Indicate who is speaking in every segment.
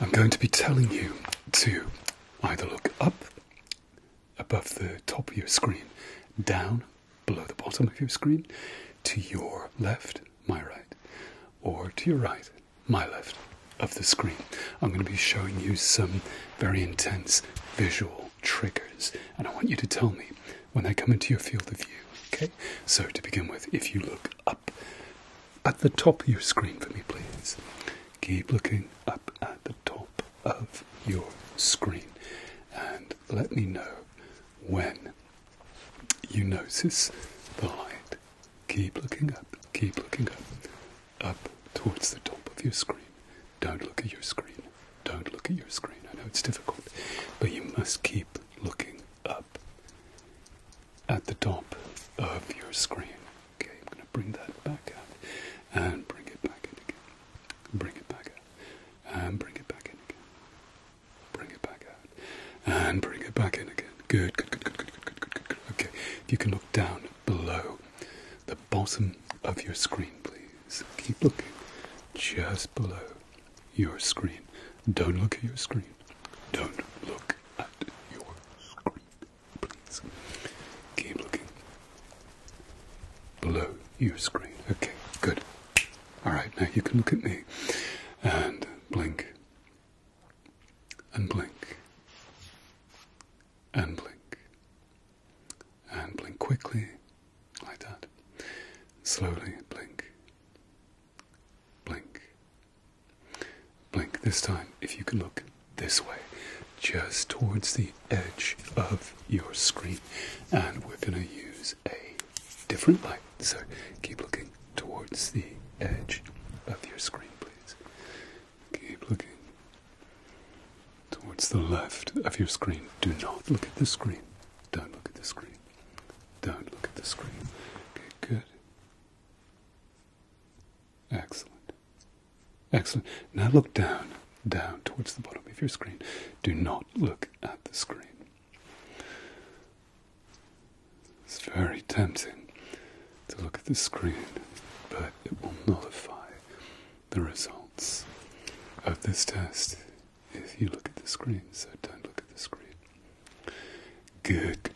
Speaker 1: I'm going to be telling you to either look up above the top of your screen, down below the bottom of your screen, to your left, my right, or to your right, my left of the screen. I'm going to be showing you some very intense visual triggers, and I want you to tell me when they come into your field of view. Okay, so to begin with, if you look up at the top of your screen for me, please. Keep looking up at the top of your screen and let me know when you notice the light. Keep looking up, keep looking up, up towards the top of your screen. Don't look at your screen, don't look at your screen. I know it's difficult, but you must keep looking up at the top of your screen. Okay, I'm going to bring that back out and bring it back in again. Bring it back out and bring it back in again. Bring it back out and bring it back in again. Good, good, good, good, good, good, good, good, good. Okay, if you can look down below the bottom of your screen, please. Keep looking just below your screen. Don't look at your screen. Don't look at your screen. Please. Keep looking below your screen. Okay, good. Alright, now you can look at me and blink and blink and blink and blink quickly like that. Slowly blink Blink. Blink. This time, if you can look this way, just towards the edge of your screen. And we're going to use a different light. So keep looking towards the edge of your screen, please. Keep looking towards the left of your screen. Do not look at the screen. Don't look at the screen. Don't look at the screen. Okay, good. Excellent. Excellent. Now look down, down towards the bottom of your screen. Do not look at the screen. It's very tempting to look at the screen, but it will nullify the results of this test if you look at the screen, so don't look at the screen. Good, good,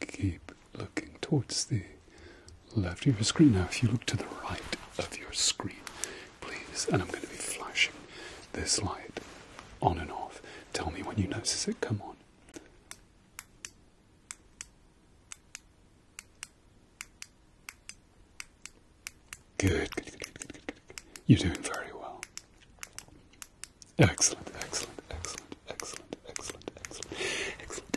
Speaker 1: Keep looking towards the left of your screen. Now, if you look to the right of your screen, please, and I'm going to be flashing this light on and off. Tell me when you notice it come on. Good, good, good, good, good, good, You're doing very well. Excellent, excellent, excellent, excellent, excellent, excellent, excellent, excellent,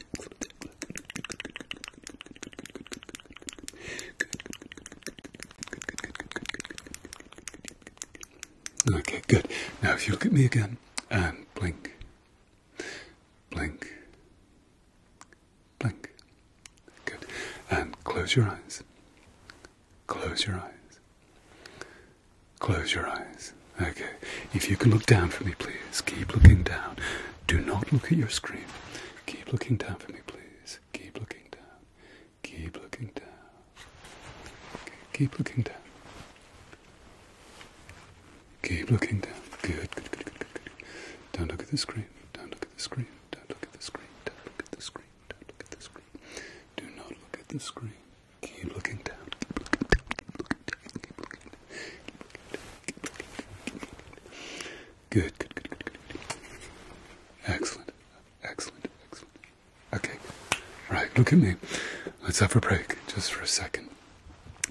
Speaker 1: excellent. Okay, good. Now, if you look at me again, and blink, blink, blink. Good. And close your eyes. Close your eyes. Close your eyes. Okay. If you can look down for me, please. Keep looking down. Do not look at your screen. Keep looking down for me, please. Keep looking down. Keep looking down. Keep looking down. Keep looking down. Good, good, good, good, good, good. Don't look at the screen. Don't look at the screen. Don't look at the screen. Don't look at the screen. Don't look at the screen. Do not look at the screen. Keep looking down. Keep looking down. Keep looking down. Keep looking down. Keep looking down. Keep looking down. Keep looking down. Good, good, good, good, good, good. Excellent. Excellent. Excellent. Okay, right, look at me. Let's have a break just for a second.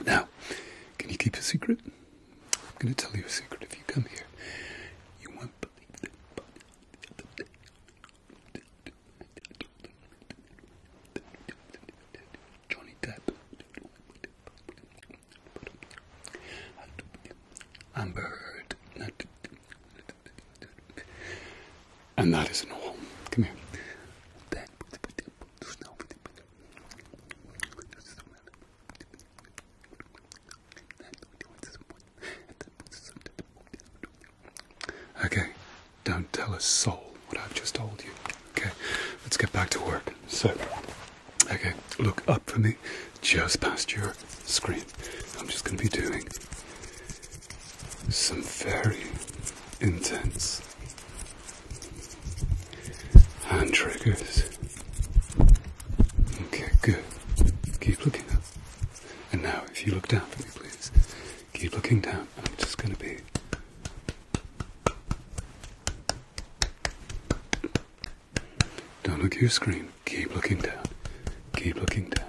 Speaker 1: Now, can you keep a secret? I'm going to tell you a secret if you come here. You won't believe it. Johnny Depp. Amber Heard. And that is an all. Come here. Okay, don't tell a soul what I've just told you. Okay, let's get back to work. So, okay, look up for me just past your screen. I'm just going to be doing some very intense hand triggers. Okay, good. Keep looking up. And now, if you look down for me, please, keep looking down. I'm just going to be. Don't look at your screen. Keep looking down. Keep looking down.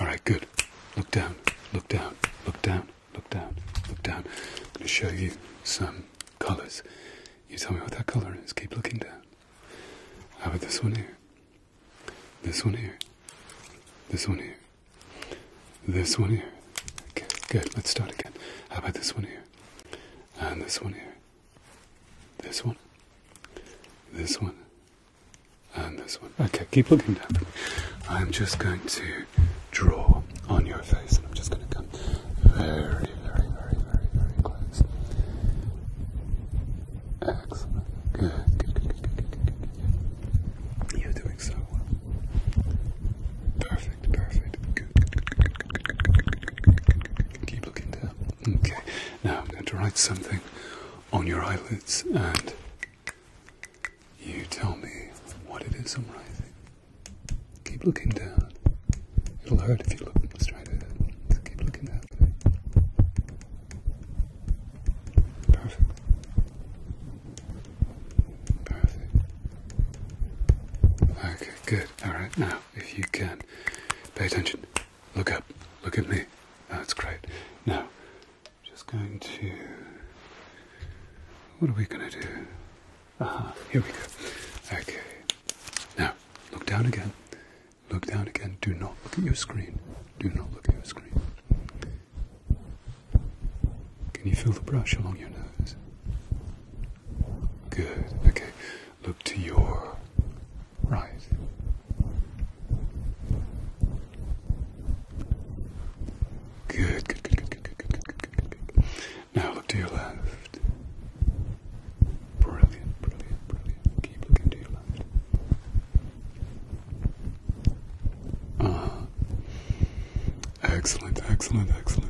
Speaker 1: All right, good. Look down, look down, look down, look down, look down. I'm going to show you some colors. You tell me what that color is. Keep looking down. How about this one here? This one here. This one here. This one here. Okay, good. Let's start again. How about this one here? And this one here. This one, this one, and this one. Okay, keep looking down. I'm just going to draw on your face, and I'm just going to come very, very, very, very, very close. Excellent. You're doing so well. Perfect, perfect. Keep looking down. Okay, now I'm going to write something on your eyelids and you tell me what it is I'm writing. Keep looking down. It'll hurt if you look straight ahead. So keep looking down. Perfect. Perfect. Okay, good. Alright, now if you can. Pay attention. Look up. Look at me. Oh, that's great. Now, just going to. What are we going to do? Aha, here we go. Okay. Now, look down again. Look down again. Do not look at your screen. Do not look at your screen. Can you feel the brush along your nose? Good. Okay. Look to your right. Good, good, good, good, good, good, good, good, good, good. Now look to your left. Brilliant, brilliant, brilliant. Keep looking to your left. Uh Excellent, excellent, excellent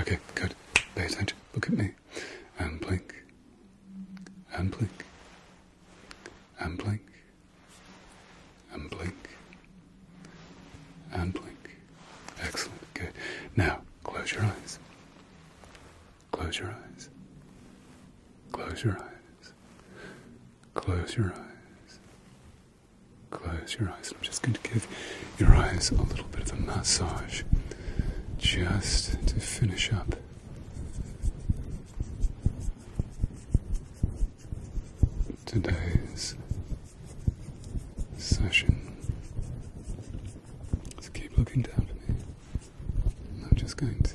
Speaker 1: Okay, good. Pay attention. Look at me. And blink. And blink. And blink. And blink. And blink. Excellent. Good. Now, close your eyes. Close your eyes. Close your eyes. Close your eyes. Close your eyes. I'm just going to give your eyes a little bit of a massage just to finish up. Today's session. So keep looking down at me. I'm just going to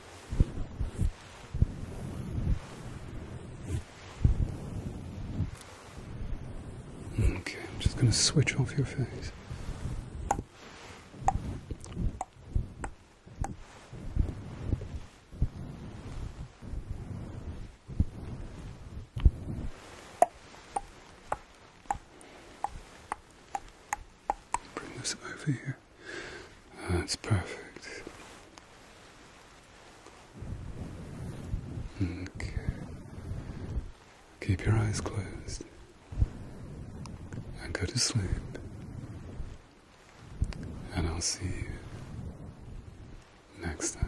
Speaker 1: Okay, I'm just going to switch off your face. Bring this over here. That's perfect. Okay. Keep your eyes closed and go to sleep. And I'll see you next time.